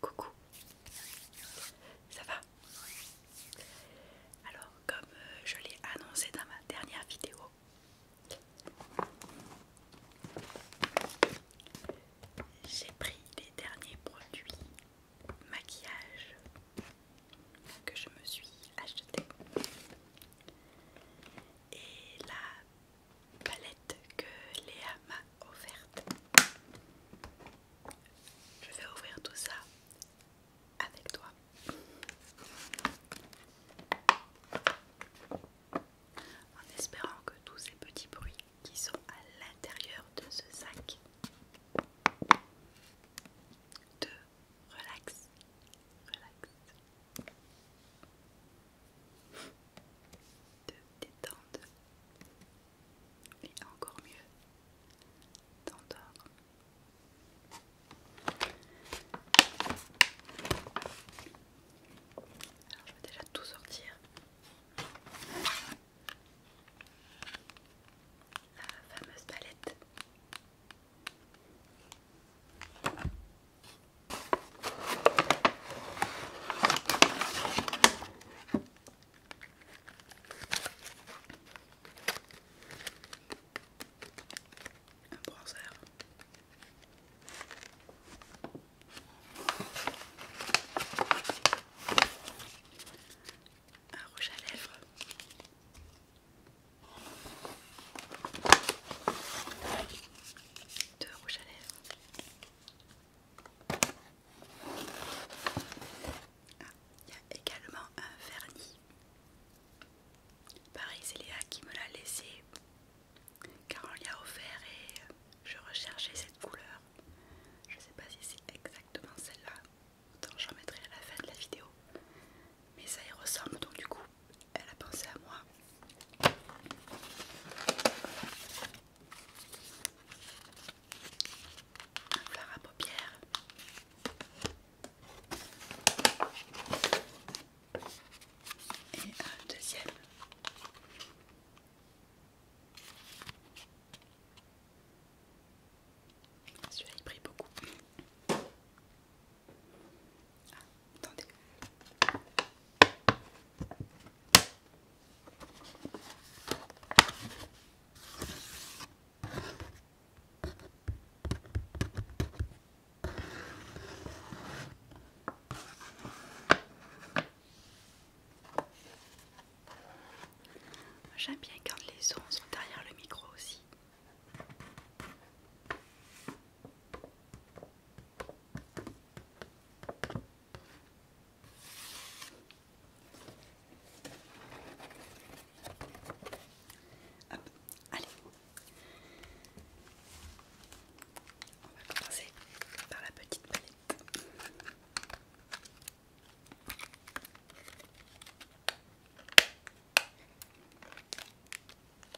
Coucou, ça va Alors comme euh, je l'ai annoncé dans ma dernière vidéo, j'ai pris les derniers produits maquillage que je me suis acheté. Et la palette que Léa m'a offerte. Je vais ouvrir tout ça avec toi. En espérant que tous ces petits bruits qui sont à l'intérieur de ce sac te relaxent de détente et encore mieux d'endormir. Alors je vais déjà tout sortir. La fameuse palette un bronzer. Un rouge à lèvres. Deux rouge à lèvres. Ah, il y a également un vernis. Pareil, c'est qui me l'a laissé car on lui a offert et euh, je recherchais cette couleur. Je sais pas si c'est exactement celle-là, autant j'en mettrai à la fin de la vidéo. Mais ça y ressemble donc du coup elle a pensé à moi. Un fleur à paupières. Et un deuxième. Celui-là il brille beaucoup. J'aime bien quand les sons sont derrière le micro aussi allez. On va commencer par la petite palette.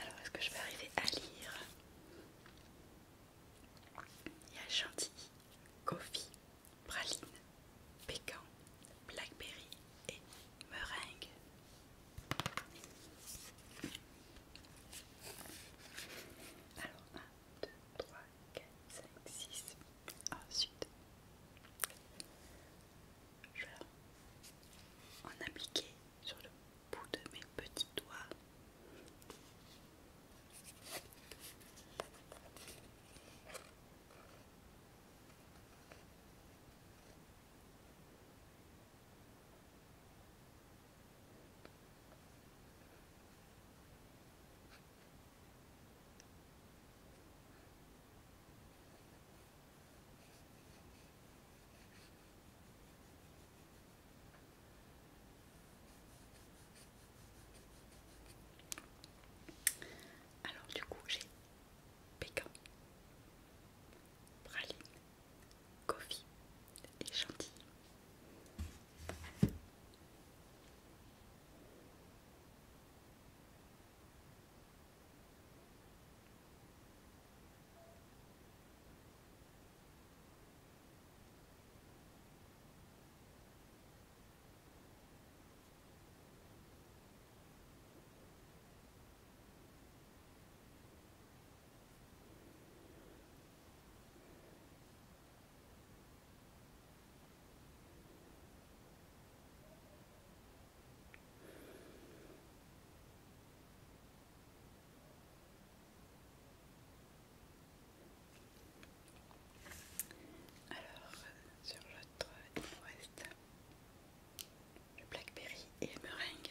Alors, est-ce que je vais arriver à lire Il y a Chantilly, Coffee, Praline, Pécan, Blackberry et Meringue. Alors, 2, 3, 4, 5, 6. Ensuite, je vais en appliquer sur le bout de mes petits doigts. Alors du coup j'ai pécan, praline, Coffee est gentil. Alors, sur l'autre, forest le blackberry et le meringue.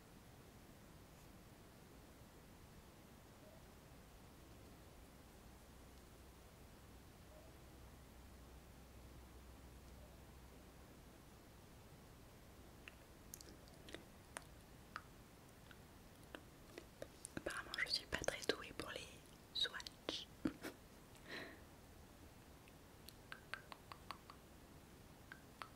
Apparemment, je suis pas très douée pour les swatches.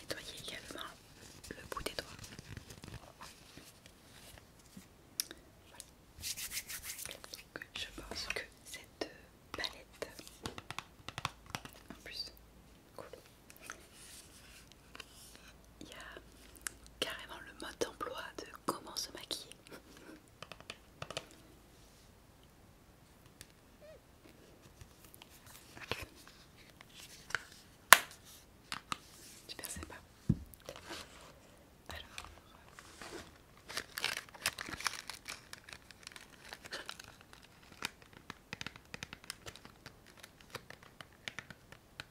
Nettoyez également le bout des doigts. je pense que cette palette, en plus, cool. Il y a carrément le mode d'emploi de comment se maquiller. Tu Super pas Alors.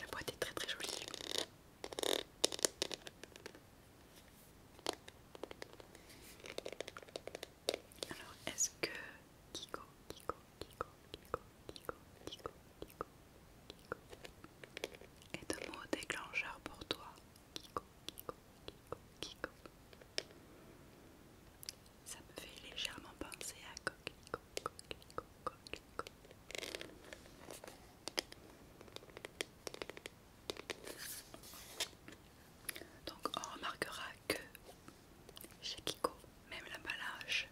la boîte est très très jolie. Alors est-ce que Kiko, Kiko, Kiko, Kiko, Kiko, Kiko, Kiko, Kiko est un mot déclencheur pour toi Kiko, Kiko, Kiko, Kiko. Ça me fait légèrement penser à Coquelicot, Donc on remarquera que chez Kiko, même l'emballage,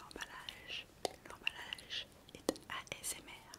l'emballage, l'emballage est ASMR.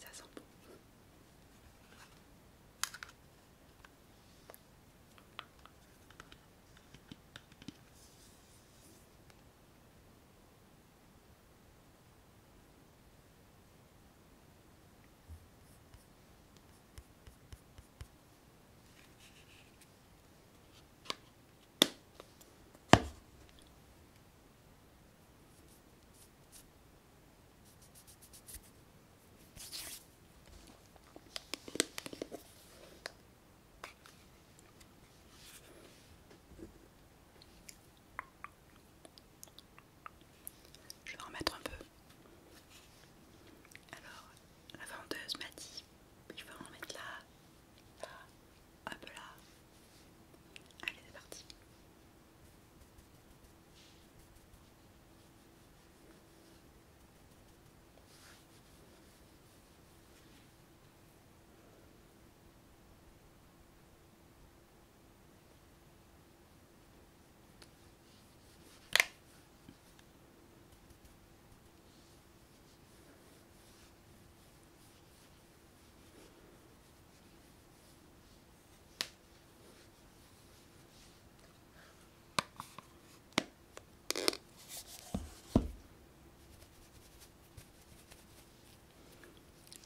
ça sent bon. Je vais en mettre un peu. Alors, la vendeuse m'a dit je vais en mettre là, Hop là. Allez, c'est parti.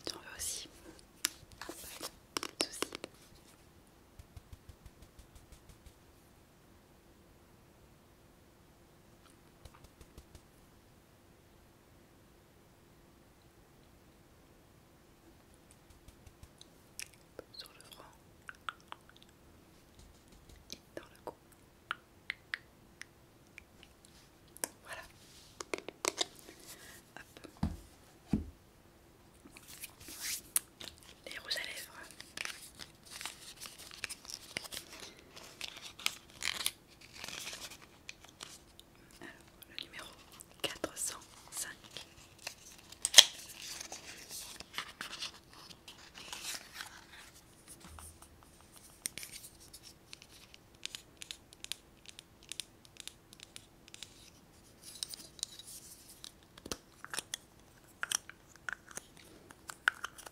J'en veux aussi sur le front et dans le cou. Voilà. Hop. Les rouges à lèvres. Alors, le numéro 405.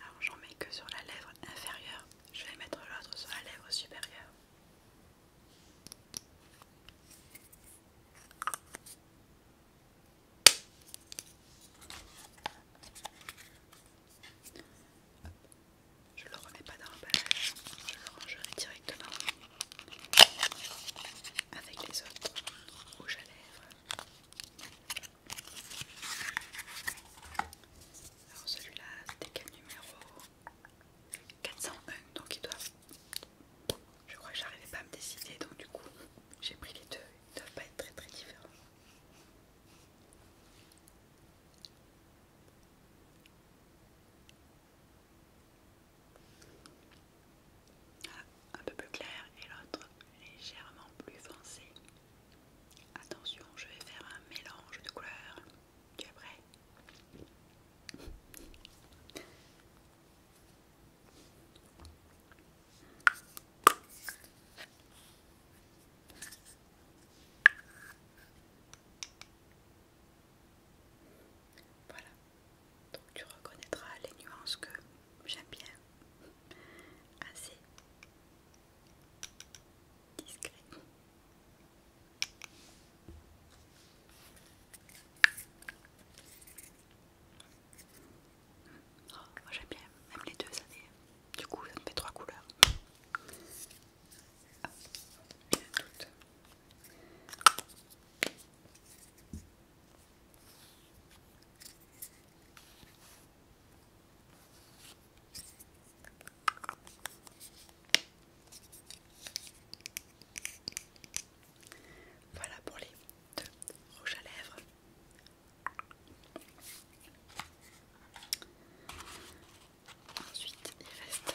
Alors j'en mets que sur la lèvre inférieure, je vais mettre l'autre sur la lèvre supérieure. Je ne le remets pas dans l'emballage, je le rangerai directement avec les autres rouges à lèvres. Alors celui-là, c'était quel numéro 401, donc ils doivent... Je crois que j'arrivais pas à me décider, donc du coup, j'ai pris les deux. Ils doivent pas être très très différents un peu plus clair et l'autre légèrement plus foncé. Attention, je vais faire un mélange de couleurs. Tu es prêt Voilà, donc tu reconnaîtras les nuances que j'aime bien. Assez discret. Oh, moi j'aime bien, même les deux, ça fait... du coup ça me fait trois couleurs. toutes. Voilà pour les deux rouges à lèvres. Ensuite, il reste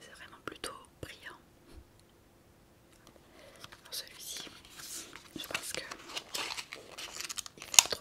C'est vraiment plutôt brillant. celui-ci, je pense que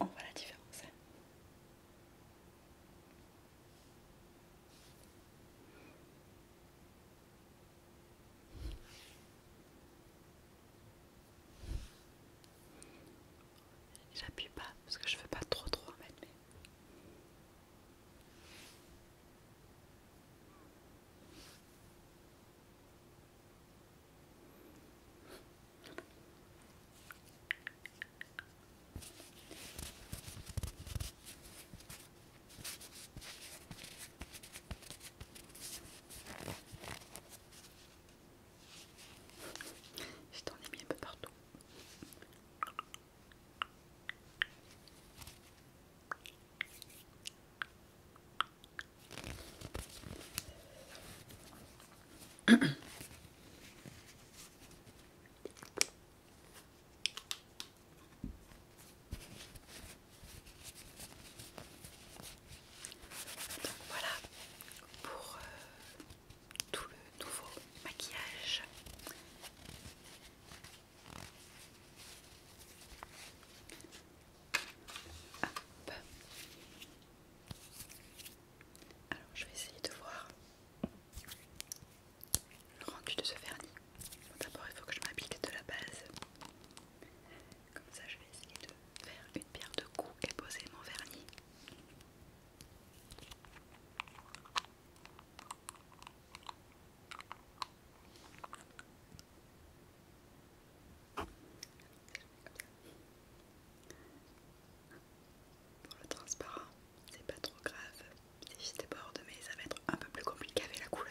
on voit la différence. J'appuie pas parce que je veux pas trop trop en mettre je t'en ai mis un peu partout voilà pour euh, tout le nouveau maquillage. Alors je vais essayer de voir le rendu de ce vernis. D'abord il faut que je m'applique de la base. Comme ça je vais essayer de faire une pierre de cou et poser mon vernis. Pour le transparent, c'est pas trop grave. Si je déborde, mais ça va être un peu plus compliqué avec la couleur.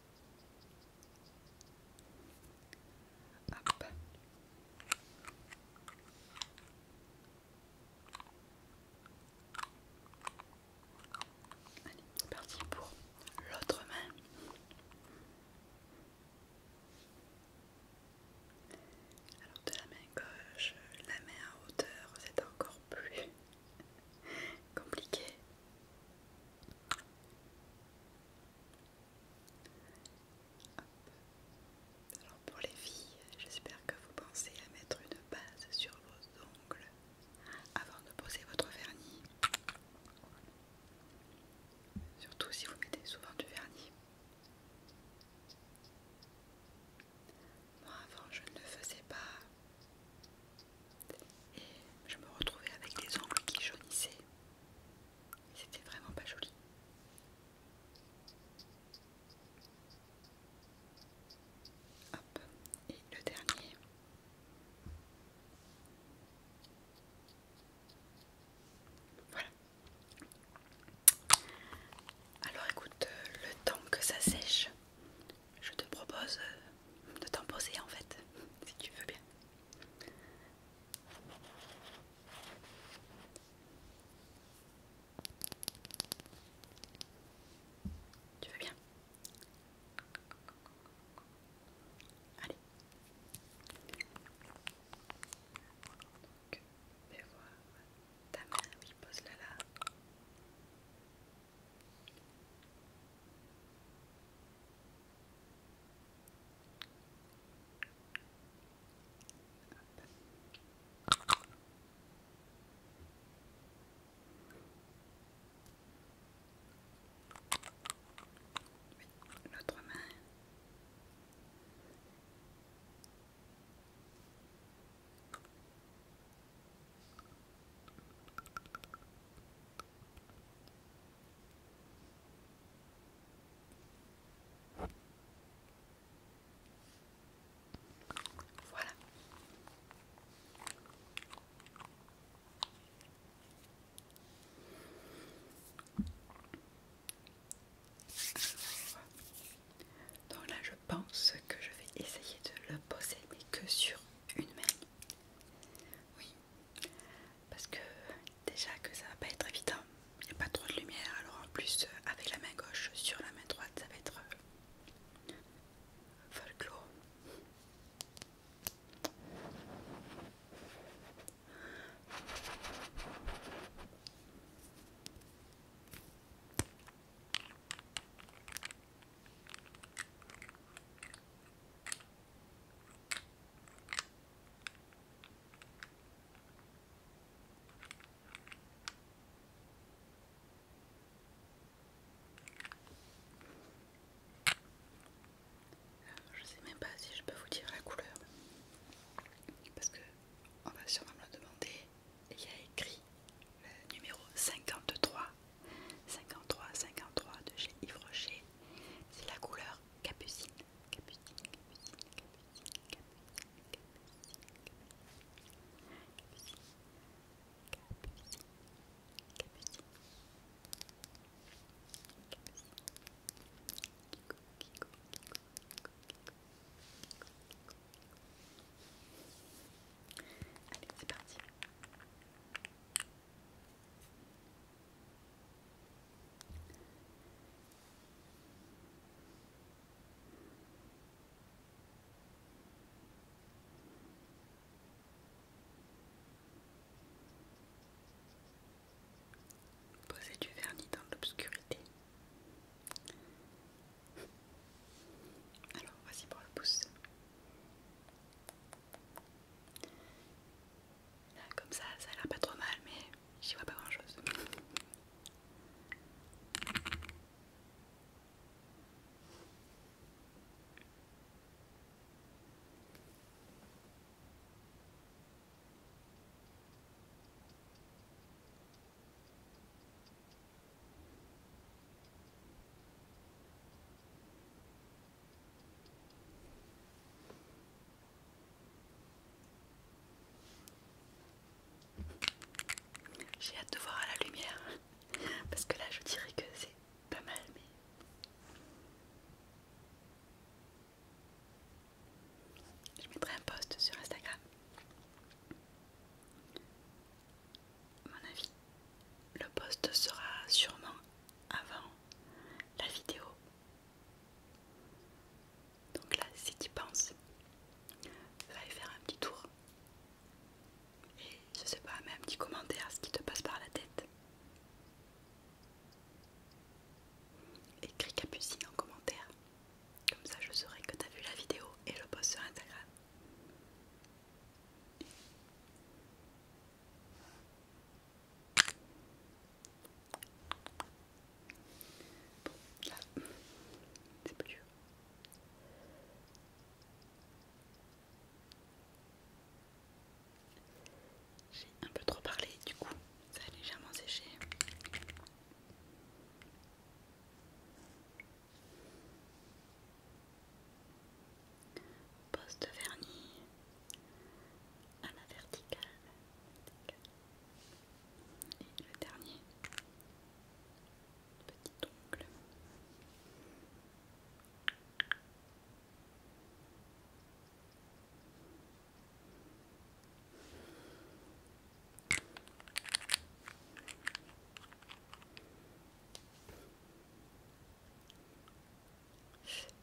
Allez, parti pour l'autre main. Alors de la main gauche, la main à hauteur, c'est encore plus compliqué. Alors pour les filles, j'espère que vous pensez à mettre une base sur vos ongles avant de poser votre vernis. Surtout si vous mettez souvent du vernis. Moi avant je ne le faisais pas et je me retrouvais avec des ongles qui jaunissaient. C'était vraiment pas joli. Hop, et le dernier. Voilà. Alors écoute, euh, le temps que ça sèche, je te propose de t'en poser en fait, si tu veux bien. Tu vas bien Allez. Donc, fais voir ta main, oui, pose-la là. L'autre main. Voilà. Donc là, je pense que je vais essayer de le poser, que sur une main. Oui, parce que déjà que ça va pas être évident, il n'y a pas trop de lumière, alors en plus euh, avec la main gauche sur la main droite ça va être euh, folklore. Je sais même pas si je peux vous dire la couleur parce que on va sûrement me demander. Il y a écrit le euh, numéro 53 53 53 de chez Yves Rocher. C'est la couleur capucine. Capucine, capucine, capucine, Allez, c'est parti. Poser du vernis dans l'obscurité. Alors, voici pour le pouce comme ça, ça a l'air pas trop mal, mais j'y vois pas grand chose. J'ai hâte de voir à la lumière parce que là je dirais que c'est pas mal mais je mettrai un post sur Instagram mon avis, le post sera sûrement avant la vidéo. Donc là, si tu penses, va y faire un petit tour. Et je sais pas, mets un petit commentaire ce qui te passe par la tête. Écris Capucine en commentaire. Comme ça, je saurai que tu as vu la vidéo et le post sur Instagram c'est J'ai un peu trop parlé, du coup, ça a légèrement séché. Poste de vernis à la verticale. Et le dernier petit ongle.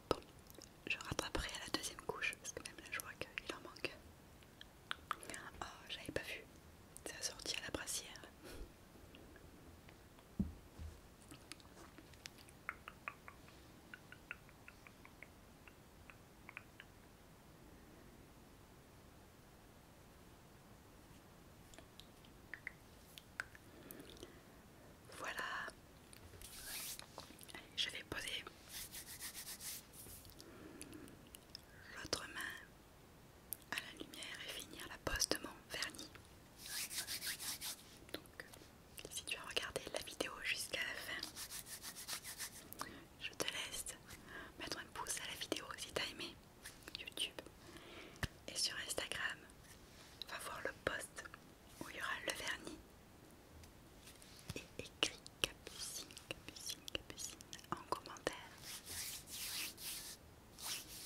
Bon, je rattraperai à la deuxième couche parce que même là je vois qu'il en manque. Oh, j'avais pas vu. C'est sorti à la brassière. Voilà. je vais poser l'autre main à la lumière et finir la pose de mon vernis. Donc, si tu as regardé la vidéo jusqu'à la fin, je te laisse mettre un pouce à la vidéo si tu as aimé. YouTube et sur Instagram, va voir le post où il y aura le vernis et écrit capucine, capucine, capucine en commentaire. Capucine,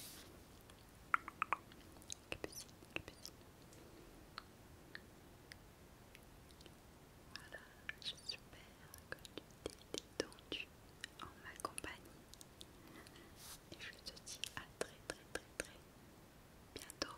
capucine. Voilà, je suis super détendue en ma compagnie. Et je te dis à très très très très bientôt.